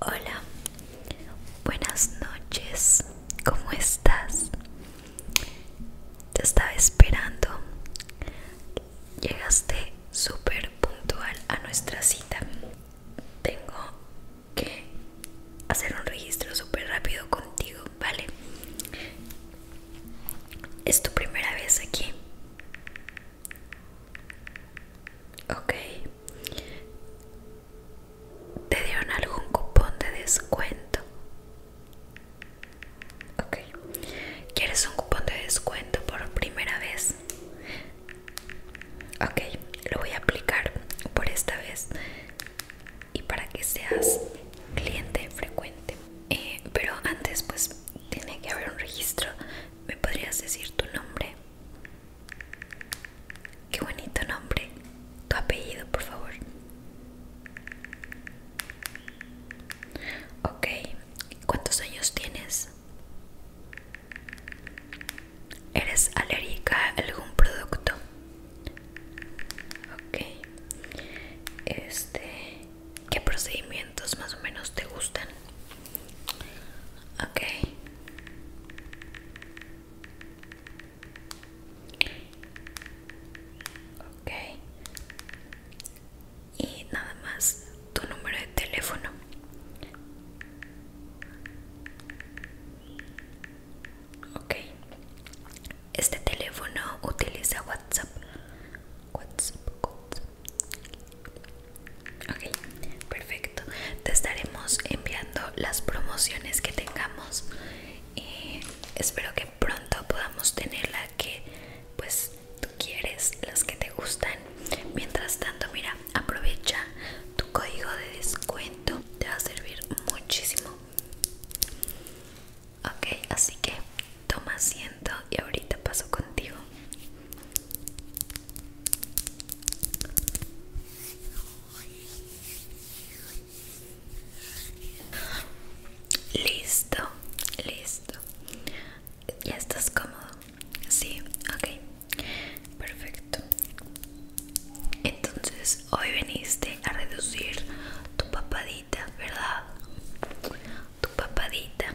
Hola, buenas noches, ¿cómo estás? Te estaba esperando. Llegaste súper puntual a nuestra cita. Tengo que hacer un registro súper rápido contigo, ¿vale? ¿Es tu primera vez aquí? Ok. ¿Te dieron algún cupón de descuento? Ok. ¿Quieres un cupón de descuento por primera vez? Ok, lo voy a aplicar por esta vez y para que seas cliente frecuente. Eh, pero antes pues tiene que haber un registro me podrías decir tu nombre qué bonito nombre tu apellido por favor ok cuántos años tienes eres alérgica a algún producto ok este qué procedimientos más o menos te gustan. Ok. Ok. Y nada más tu número de teléfono. Ok. Este teléfono utiliza WhatsApp. WhatsApp, WhatsApp. Ok, perfecto. Te estaremos enviando las promociones que tengamos. Y espero que pronto podamos tener la que pues tú quieres, las que te gustan. Mientras tanto, mira, aprovecha tu código de descuento. Te va a servir muchísimo. Ok, así que toma asiento y ahorita paso contigo. Listo, listo. ¿Ya estás cómodo? Sí, ok. Perfecto. Entonces, hoy viniste a reducir tu papadita ¿verdad? Tu papadita.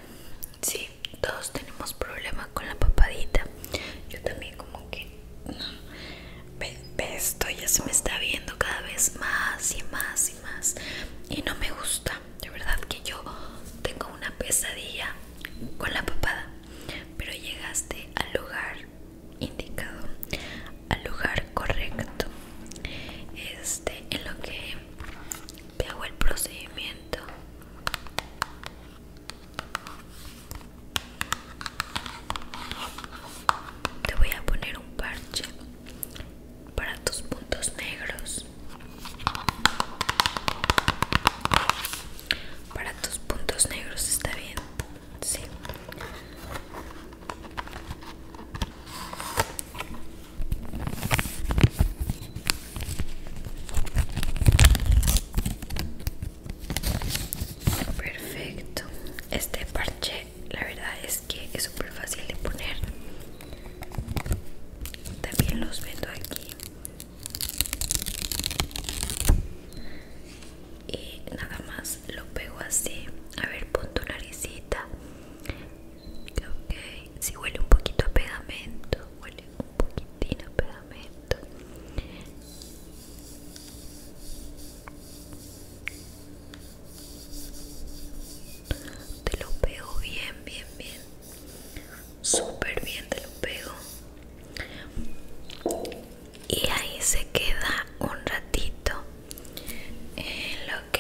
Sí, todos tenemos problemas con la papadita. Yo también como que... no ve esto ya se me está viendo cada vez más y más y más. Y no me gusta. De verdad que yo tengo una pesadilla con la papada. Pero llegaste al lugar indicado, al lugar correcto. Este, en lo que te hago el procedimiento te voy a poner un parche para tus puntos negros para tus puntos negros está bien sí Perfecto. Este parche, la verdad es que es súper fácil de poner. También los vendo aquí. Y nada más lo pego así. A ver, pon tu naricita Ok, si huele un poquito a pegamento, huele un poquitito a pegamento. Te lo pego bien, bien, bien. Súper bien te lo pego. Y ahí se queda un ratito. en lo Ok,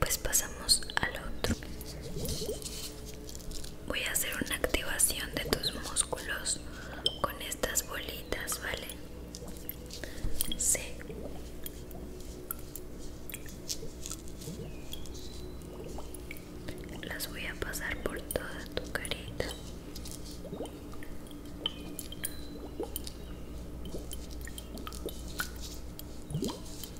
pues pasamos al otro voy a hacer una activación de tus músculos con estas bolitas vale sí las voy a pasar por toda tu carita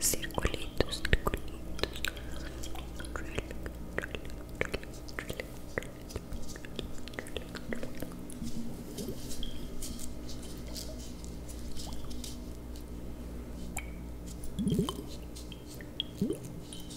Circulitos, circulitos. Drill, drill, drill, drill, drill, drill.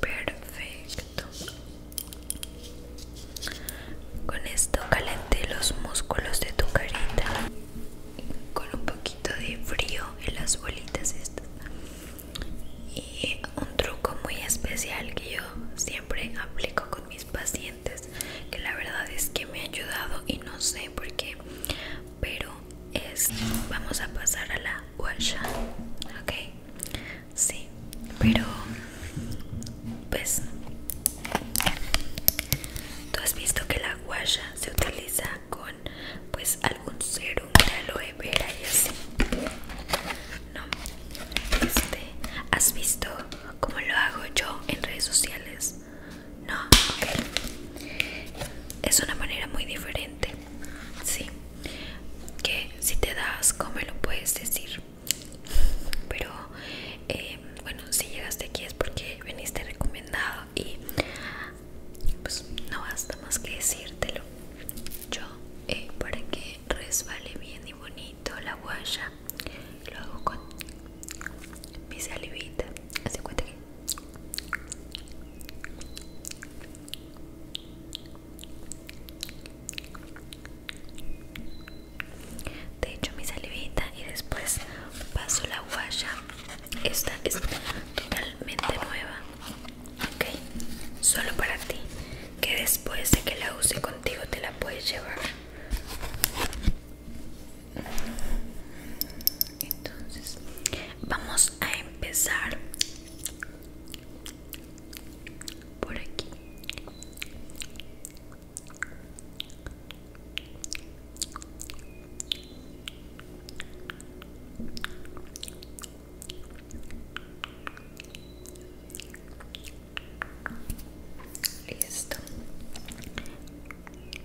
Perfecto. Con esto calenté los músculos de tu carita con un poquito de frío en las bolitas estas. Y un truco muy especial que yo siempre aplico con mis pacientes, que la verdad es que me ha ayudado y no sé por qué pero es vamos a pasar a la guaya ok sí pero pues tú has visto que la guaya se utiliza con pues algún serum de aloe vera y así no este has visto cómo lo hago yo en redes sociales no, Es una manera muy diferente. Sí. Que si te das, como lo puedes decir? Pero eh, bueno, si llegaste aquí es porque veniste recomendado y pues no basta más que decírtelo. Yo, eh, para que resbale bien y bonito la guaya, lo hago con mi salivita. Así de hecho mi salivita y después paso la guaya. Esta es totalmente nueva. Ok, solo para ti. Que después de que la use contigo te la puedes llevar. Entonces, vamos a empezar por aquí. Listo.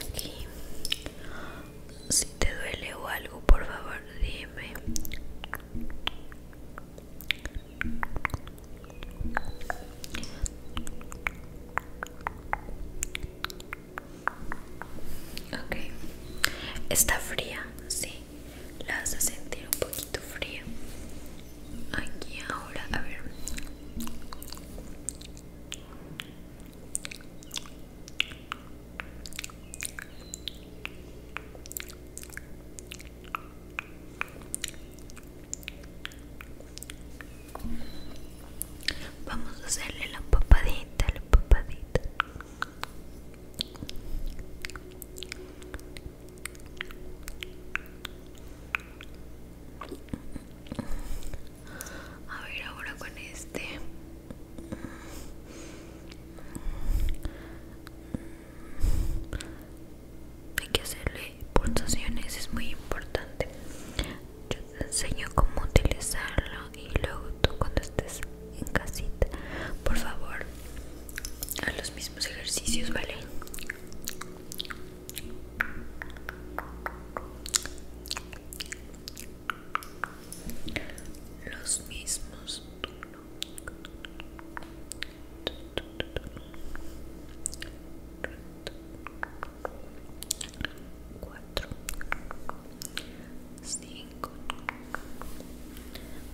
Aquí. Si te duele o algo, por favor, dime. Ok. Está fría, sí la vas a sentir un poquito fría aquí ahora a ver Vamos a hacerle la papadita, la papadita. A ver, ahora con este. Hay que hacerle pulsaciones, es muy importante. Yo te enseño cómo utilizarlo y luego tú cuando estés en casita, por favor, a los mismos ejercicios, ¿vale? Los mismos.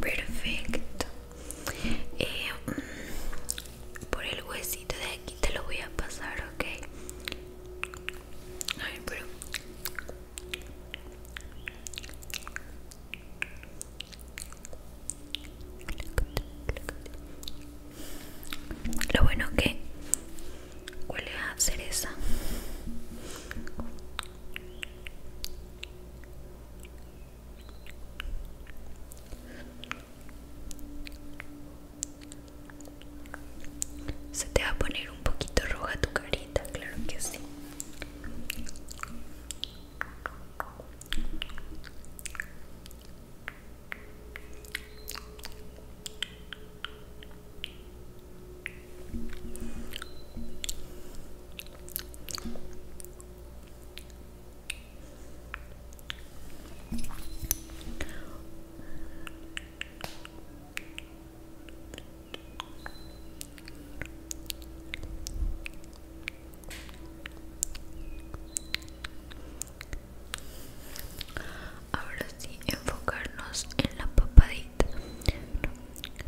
Perfecto. Eh, mm, por el huesito de aquí te lo voy a pasar, ¿ok? Lo bueno que huele a cereza. Se te va a poner un poquito roja tu carita, claro que sí. Ahora sí, enfocarnos en la papadita.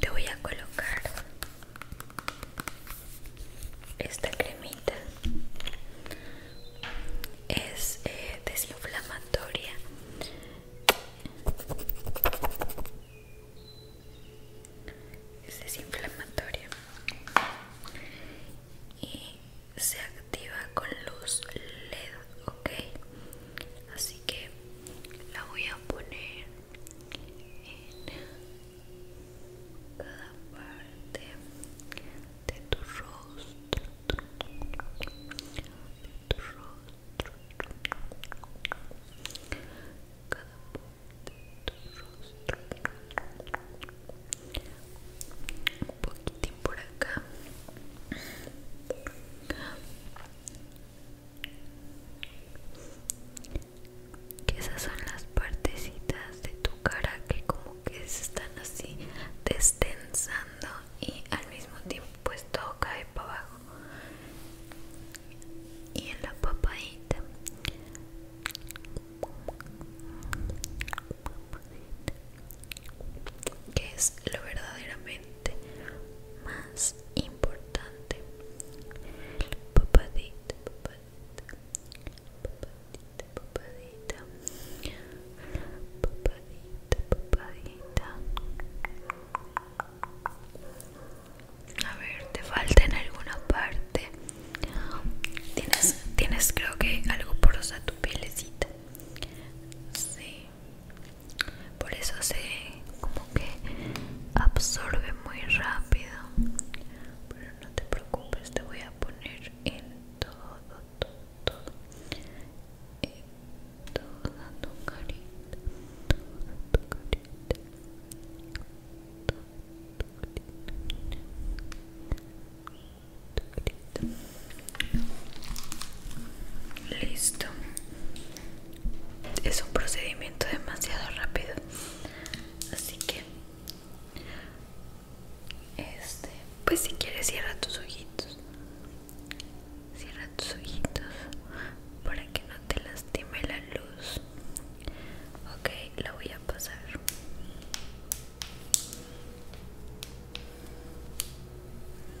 te voy a colocar esta cremita es eh, desinflamatoria es desinflamatoria y se activa con luz LED ok así que la voy a poner en cada parte de tu rostro de tu rostro cada parte de tu rostro un poquito por acá que esas son las partecitas de tu cara que como que se están así destensando y al mismo tiempo pues todo cae para abajo y en la papadita que es lo verdaderamente más importante. Papadita, papadita, papadita, papadita, papadita, papadita. A ver, te falta en alguna parte. Tienes, tienes creo que algo porosa tu pielecita. Sí por eso se como que absorbe muy rápido pero no te preocupes te voy a poner en todo todo, todo en toda tu carita toda tu carita toda tu carita tu carita Listo. Es un procedimiento demasiado rápido. Así que este, pues si quieres cierra tus ojitos. Cierra tus ojitos para que no te lastime la luz. Ok, la voy a pasar.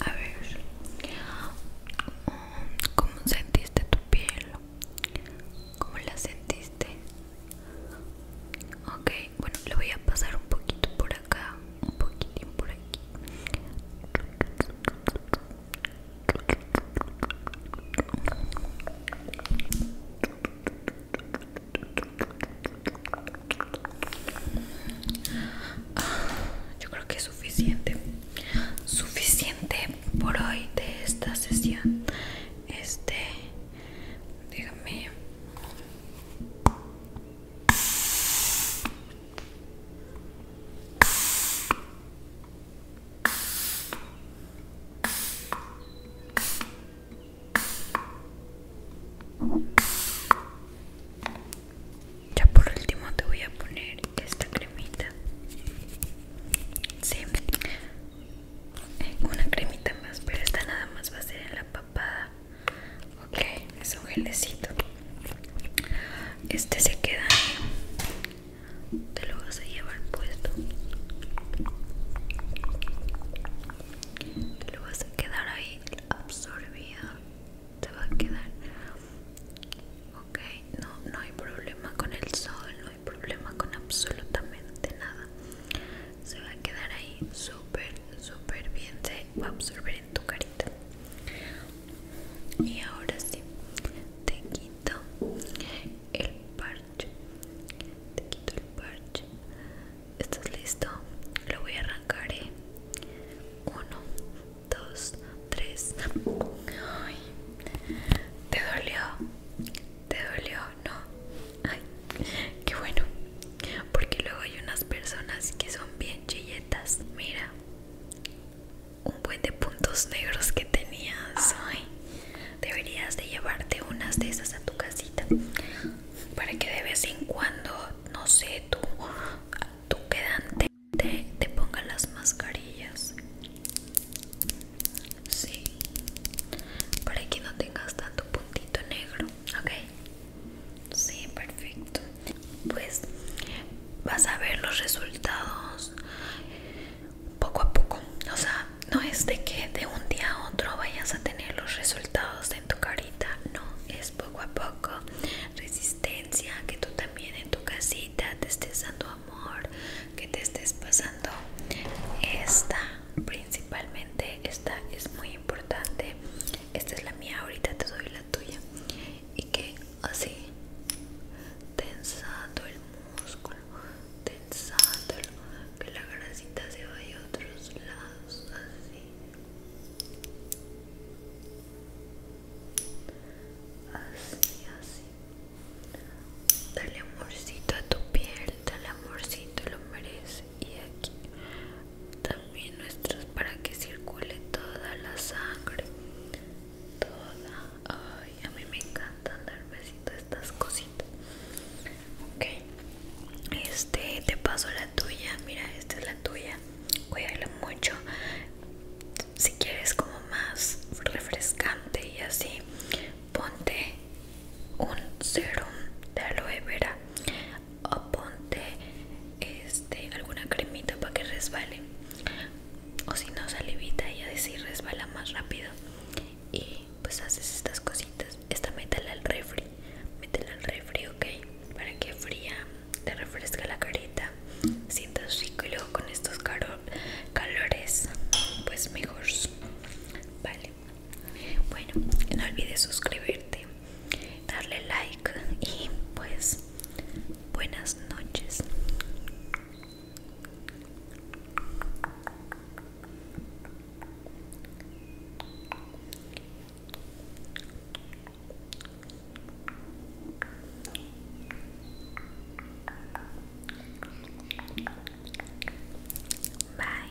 a ver, ¿cómo sentiste tu piel? ¿Cómo la sentiste? Ok, bueno, le voy a pasar un poquito por acá, un poquitín por aquí. Ah, yo creo que es suficiente, suficiente por hoy de esta sesión. Este, dígame. Ya por último te voy a poner esta cremita. Sí, una cremita más, pero esta nada más va a ser en la papada. Ok, es un gelecito. Este se queda te lo vas a llevar puesto te lo vas a quedar ahí absorbido te va a quedar ok no, no hay problema con el sol no hay problema con absolutamente nada se va a quedar ahí súper súper bien se va a absorber en tu carita y ahora sí te quito el parche te quito el parche estás listo lo voy a arrancar 1 ¿eh? uno dos tres Ay, te dolió te dolió no Ay, qué bueno porque luego hay unas personas que son bien chilletas mira un buen de puntos negros que tenías. deberías de llevarte unas de esas a tu casita para que de vez en cuando, no sé, tú, tú quedante te, te ponga las mascarillas. Sí, para que no tengas tanto puntito negro, ¿ok? Sí, perfecto. Pues vas a ver los resultados poco a poco. O sea, no es de que de un día a otro vayas a tener los resultados en tu carita, no, es poco a poco. Resistencia, que tú también en tu casita te estés dando amor, que te estés pasando esta, principalmente esta es muy importante. Esta es la mía, ahorita te doy la tuya. Y que así tensando el músculo, tensando que la grasita se vaya a otros lados, así, así, así. Dale amorcito a tu piel, dale amorcito, lo merece. Y aquí también nuestros para que circule toda la sangre, toda Ay, a mí me encanta dar besitos estas cositas. Ok. Este, te paso la tuya. Mira, esta es la tuya. Cuídala mucho. Si quieres como más refrescante y así, ponte un serum de aloe vera o ponte este alguna cremita para que resbale o si no salivita y decir resbala más rápido y pues haces estas cositas esta métela al refri métela al refri ok para que fría te refresca la carita sientas rico y luego con estos calores pues mejor vale bueno no olvides suscribirte darle like y pues Buenas noches. Bye.